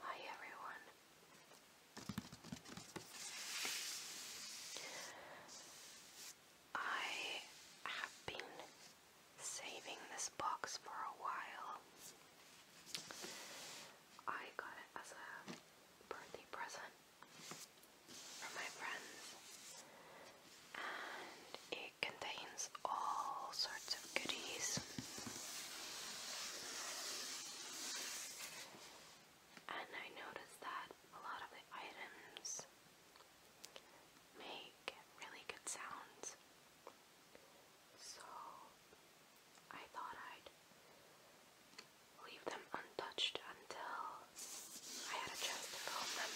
Hi everyone. I have been saving this box for a while. I got it as a birthday present from my friends, and it contains all sorts of goodies. And I noticed that a lot of the items make really good sounds. So I thought I'd leave them untouched until I had a chance to film them.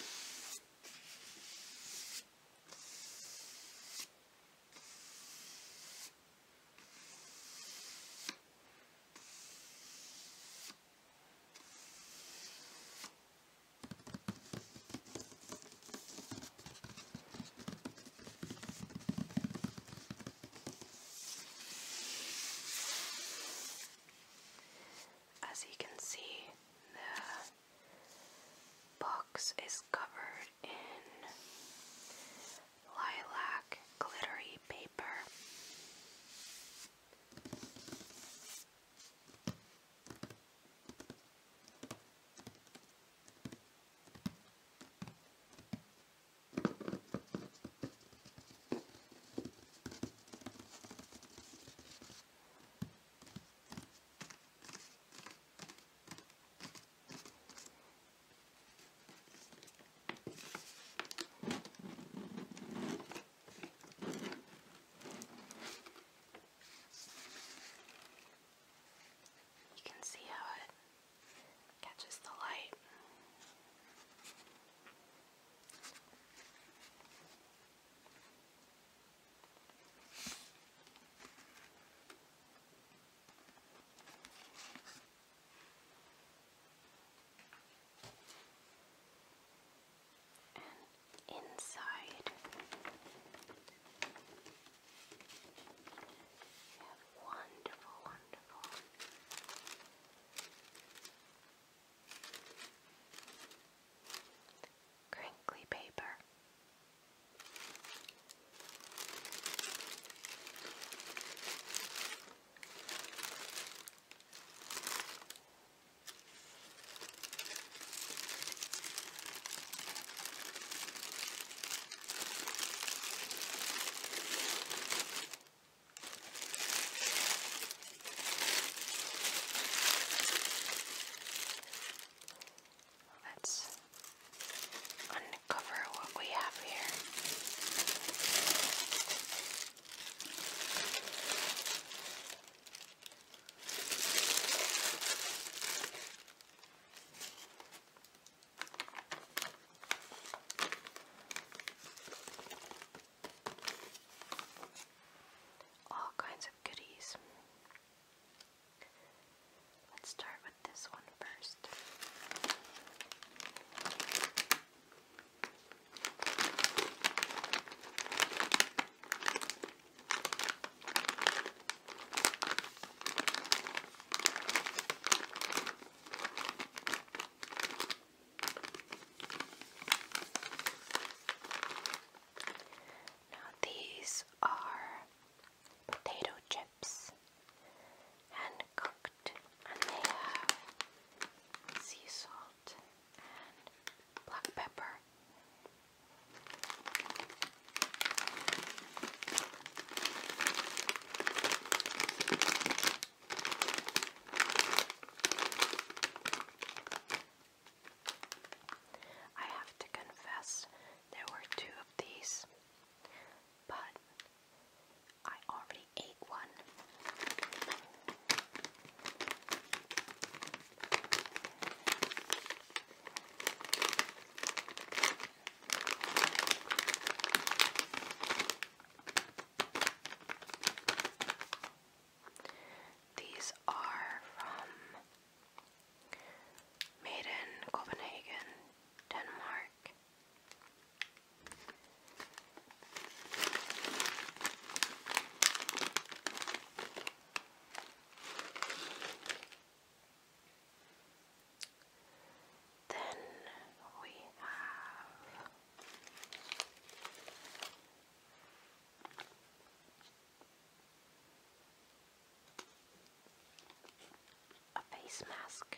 As you can see, the box is covered in lilac glittery paper. You can see how it catches the light. And inside you wonderful, wonderful crinkly paper. Let's uncover what we have here. All kinds of goodies. Let's start with this one first. Now these are potato chips, hand cooked, and they have sea salt and black pepper. I have to confess, there were two of these, but I already ate one. These are from made in Copenhagen, Denmark. Then we have a face mask.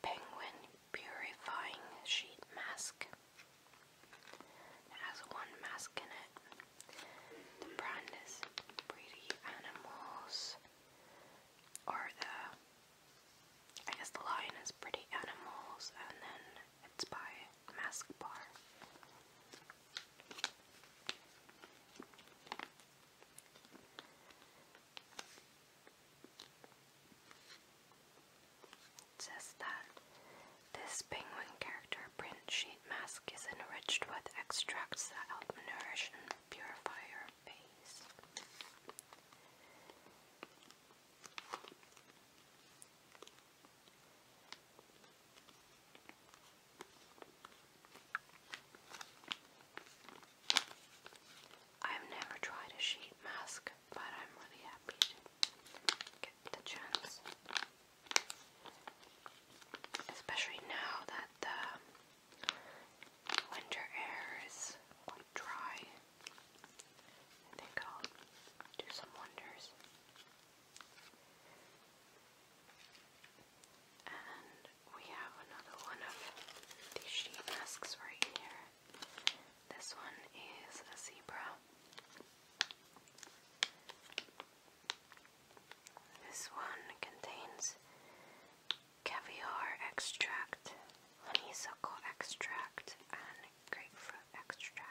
penguin purifying sheet mask. It has one mask in it. The brand is Pretty Animals, or the, I guess the line is Pretty Animals, and then it's by Mask Bar. It that this penguin character print sheet mask is enriched with extracts that help nourish and purify your face. I've never tried a sheet mask, but I'm really happy to get the chance. Especially now that the winter air is dry. I think I'll do some wonders. And we have another one of these sheet masks right here. This one is a zebra. This one contains caviar extract, honeysuckle extract, and grapefruit extract.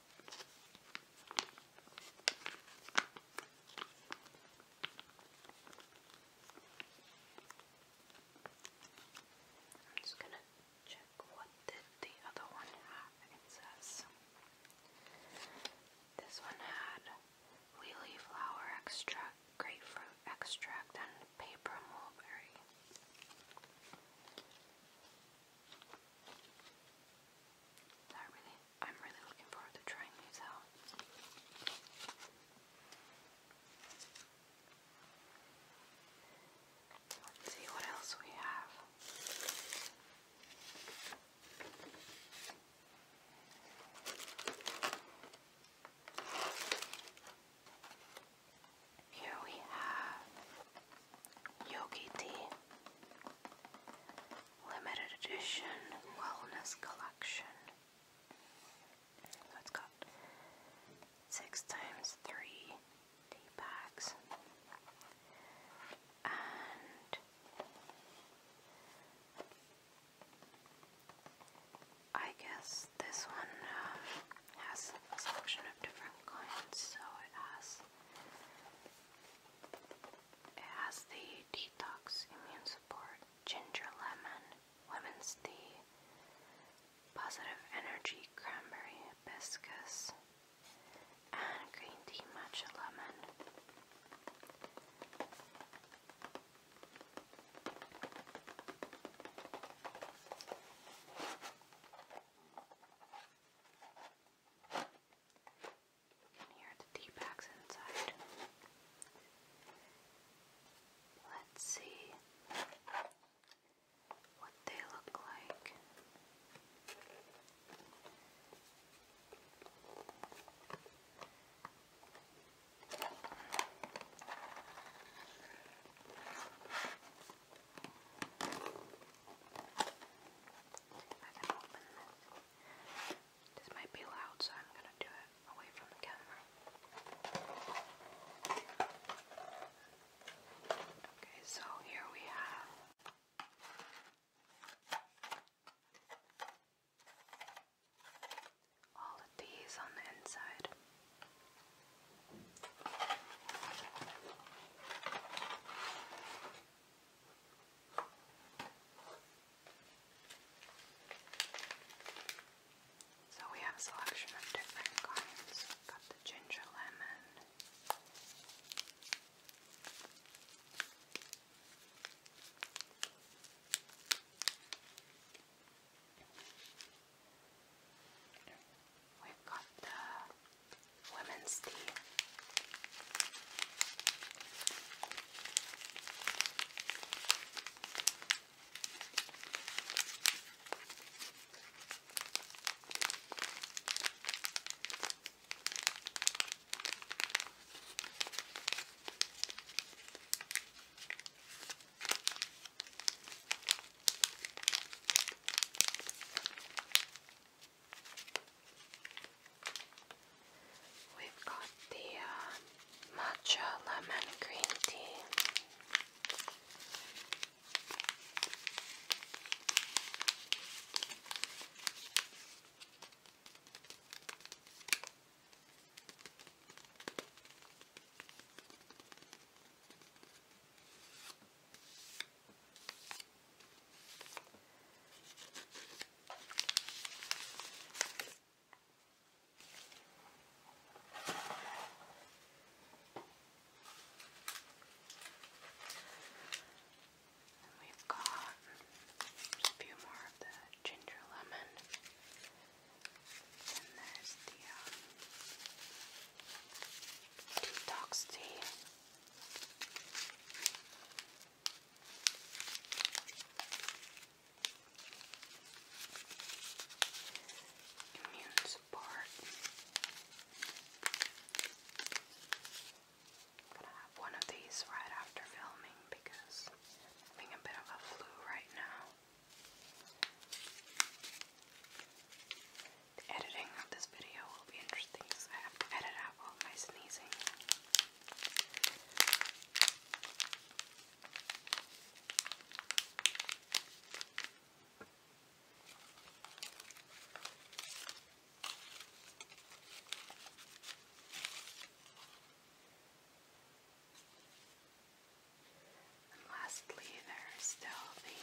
I'm just going to check what did the other one have. It says this one had wheelie flower extract, grapefruit extract, and paper mulberry. I am really looking forward to trying these out. see what else we have. Here we have Yogi Tea Limited Edition Wellness Collection. So it's got six times three tea bags and I guess this one uh, has a selection of different kinds, so it has it has the detox immune support, ginger lemon, women's tea, positive energy, cranberry, hibiscus, and green tea matcha lemon. And here are the tea bags inside. Let's see what they look like. I This might be loud, so I'm gonna do it away from the camera. Okay, so here we have all of these on the inside. So we have a selection of different kinds. We've got the ginger lemon. We've got the women's tea. We've got the uh, matcha lemon green tea. And we've got a few more of the ginger lemon. And there's the um, detox tea. Immune support. gonna have one of these right after filming because I'm having a bit of a flu right now. The editing of this video will be interesting because I have to edit out all my sneezing. lastly, there's still the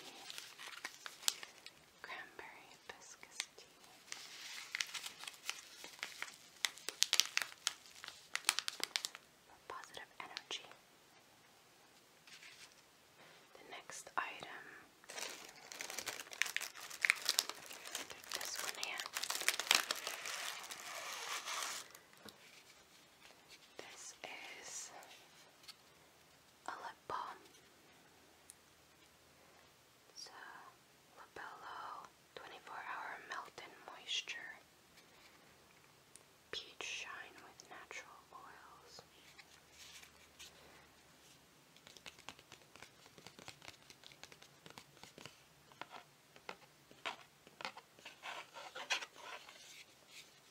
cranberry hibiscus tea. Positive energy. The next item, this one here. This is a lip balm. It's a Labello 24 Hour Melt and Moisture Peach Shine with Natural Oils.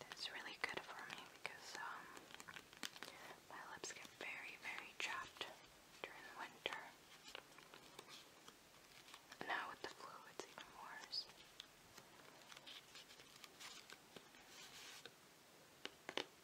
That's really good for me because um, my lips get very, very chapped during the winter. Now with the flu, it's even worse.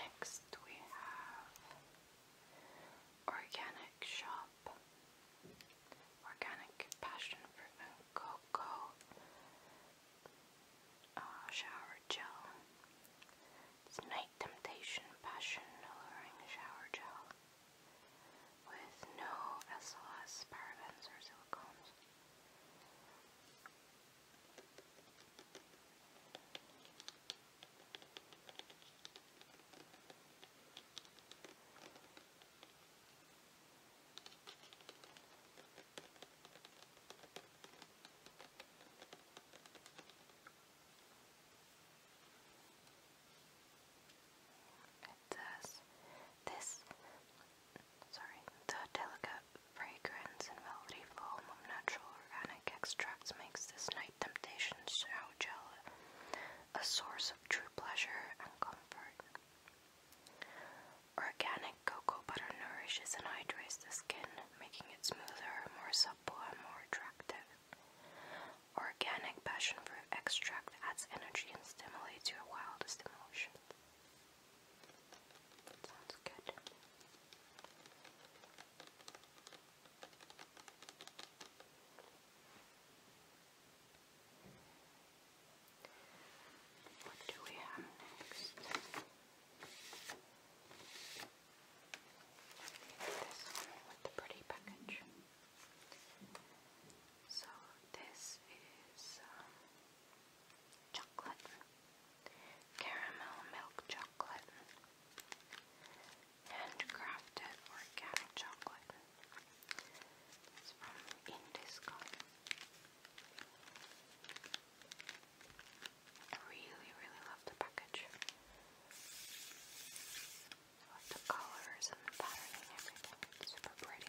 Next we have Organic Shop, Organic Passion Fruit and Cocoa ah, Shower Gel. It's Night Temptation Passion Alluring Shower Gel with no SLS, parabens, or silicones. It says this sorry, the Delica fragrance and velvety foam of natural organic extracts makes this night temptation so gel a source of true pleasure and comfort. Organic cocoa butter nourishes and hydrates the skin, making it smoother, more supple, and more attractive. Organic passion fruit extract adds energy and stimulates your wildest emotions. Sounds good. What do we have next? This one with the pretty package. So this is um, chocolate caramel milk chocolate, handcrafted organic chocolate. It's from Indiscon. really, really love the package. love the colors and the pattern everything. super pretty.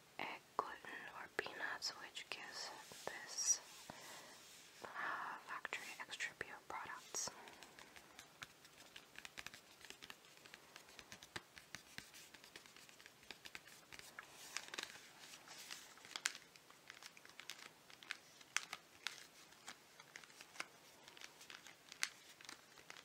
egg gluten or peanuts, which gives this uh, factory extra pure products.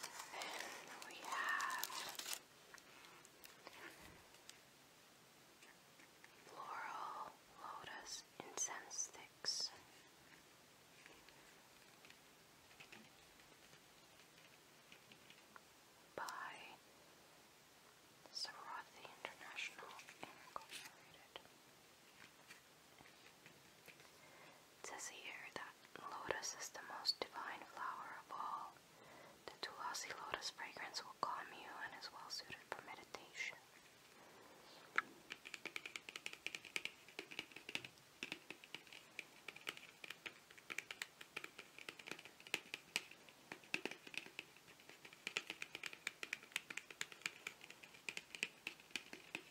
Then we have Floral Lotus Incense Sticks. By Sarathi International Incorporated. It says here that lotus is the most divine flower of all. The Tulasi lotus fragrance will calm you and is well suited for meditation.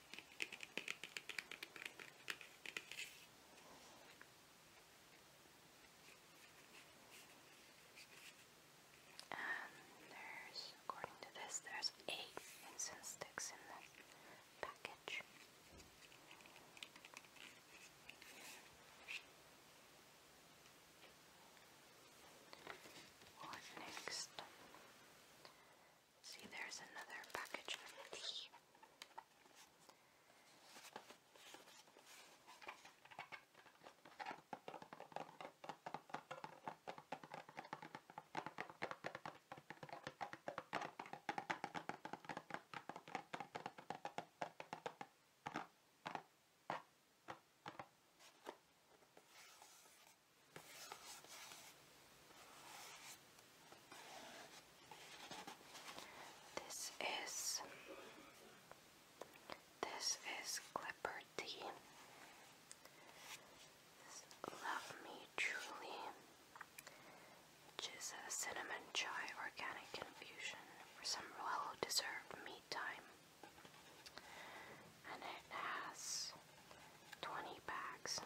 And there's, according to this, there's eight incense sticks in the package. What next? See, there's another package for tea. This is this is Clipper Tea. Love Me Truly, which is a cinnamon chai organic infusion for some well-deserved me time, and it has 20 packs.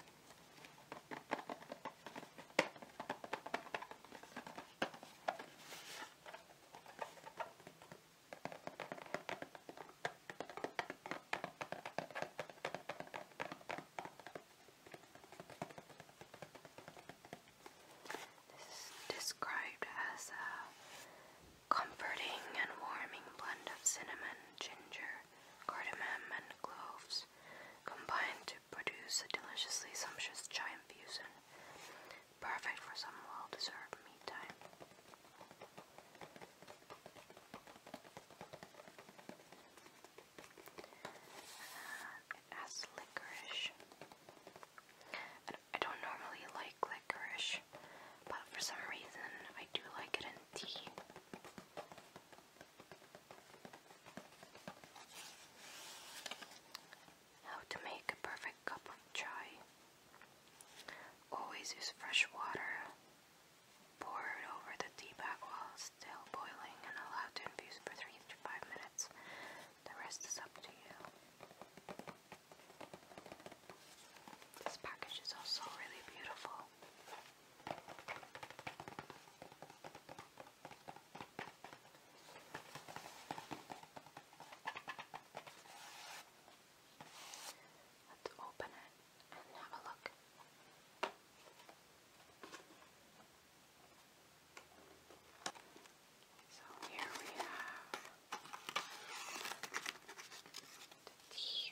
This is described as a comforting and warming blend of cinnamon, ginger, cardamom, and cloves combine to produce a deliciously sumptuous giant fusion, perfect for some well-deserved me time. has licorice. I don't normally like licorice, but for some reason I do like it in tea. How to make a perfect cup of chai. Always use fresh water. Pour it over the tea bag while still boiling and allow to infuse for 3 to 5 minutes. The rest is up to you. This package is also really beautiful. Let's open it and have a look. So here we have the tea.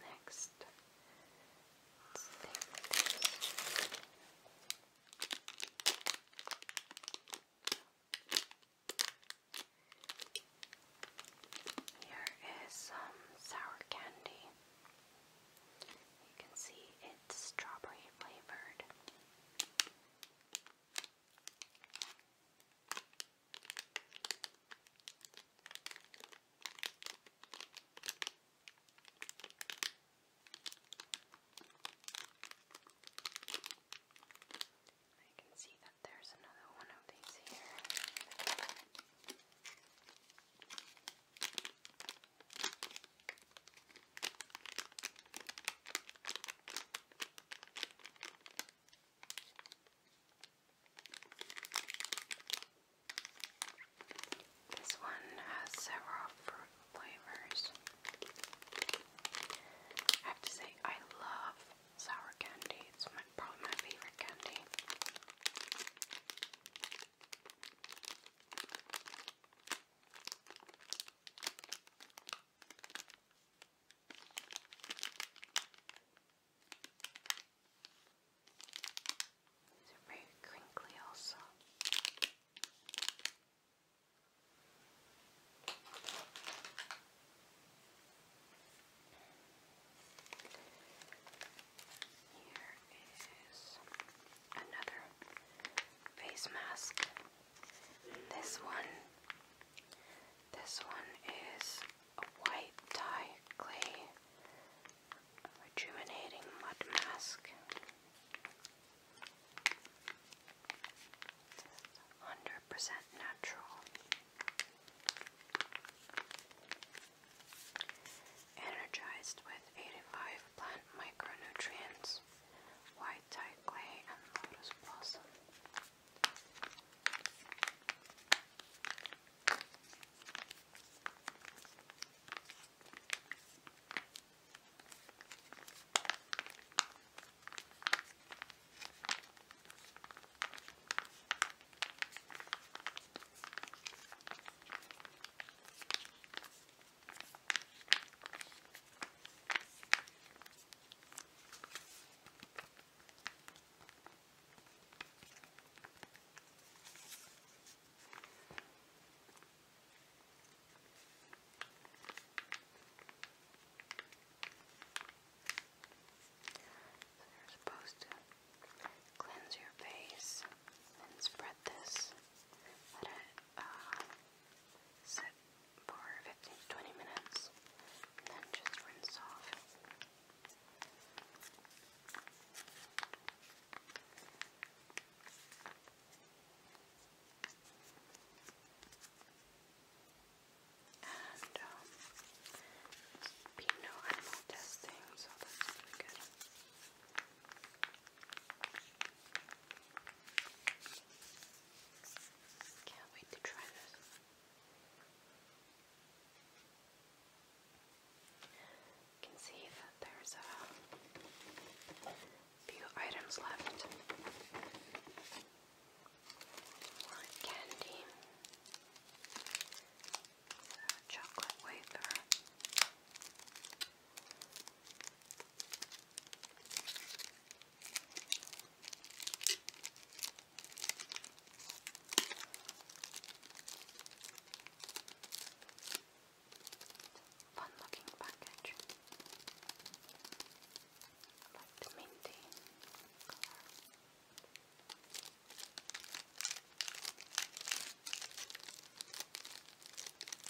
Next, here is some sour candy. You can see strawberry flavored. I can see that there's another one of these here. This one has several fruit flavors. I have to say, I love sour candy. It's probably my favorite candy. These are very crinkly also. Here is another face mask. This one, this one is a white dye clay rejuvenating mud mask. 100 natural. Energized with 85 plant micronutrients, white tie clay, and lotus blossom. So you're supposed to cleanse your face and spread this uh, set for 15 to 20 minutes, and then just rinse off. And um, no animal testing, so that's really good. Can't wait to try this. You can see that there's a few items left. More candy, chocolate wafer. Fun looking package. I like the minty color.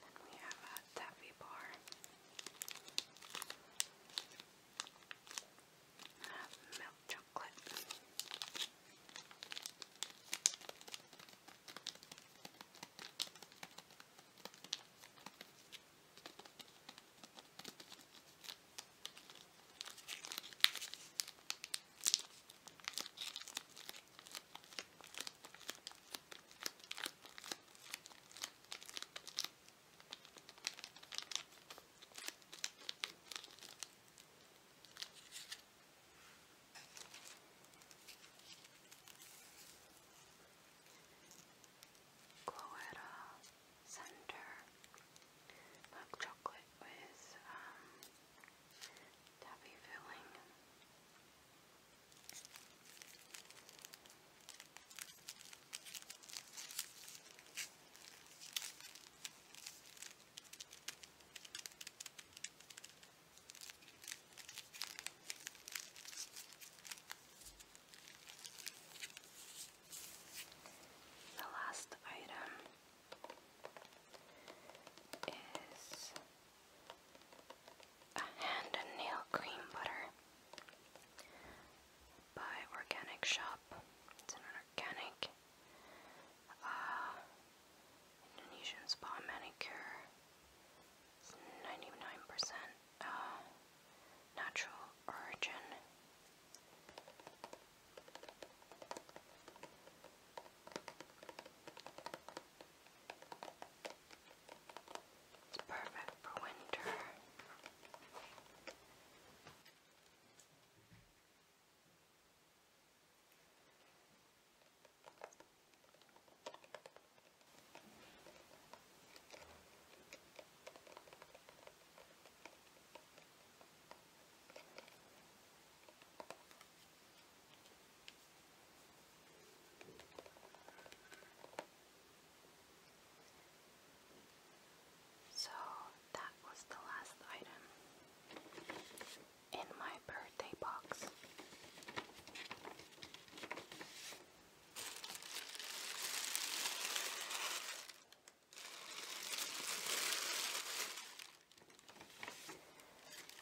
Then we have a taffy bar. I have milk chocolate. Cloetta Center milk chocolate with um, tabby filling. The last item is a hand and nail cream butter by Organic Shop. It's an organic uh, Indonesian spa manicure. It's 99% uh, natural origin. It's perfect for winter. So that was the last item in my birthday box.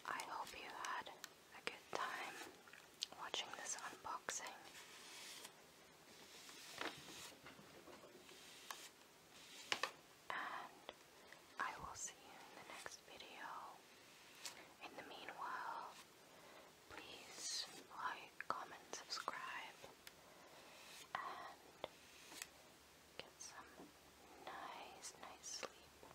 I hope you had a good time watching this unboxing. And I will see you in the next video. In the meanwhile, please like, comment, subscribe, and get some nice, nice sleep.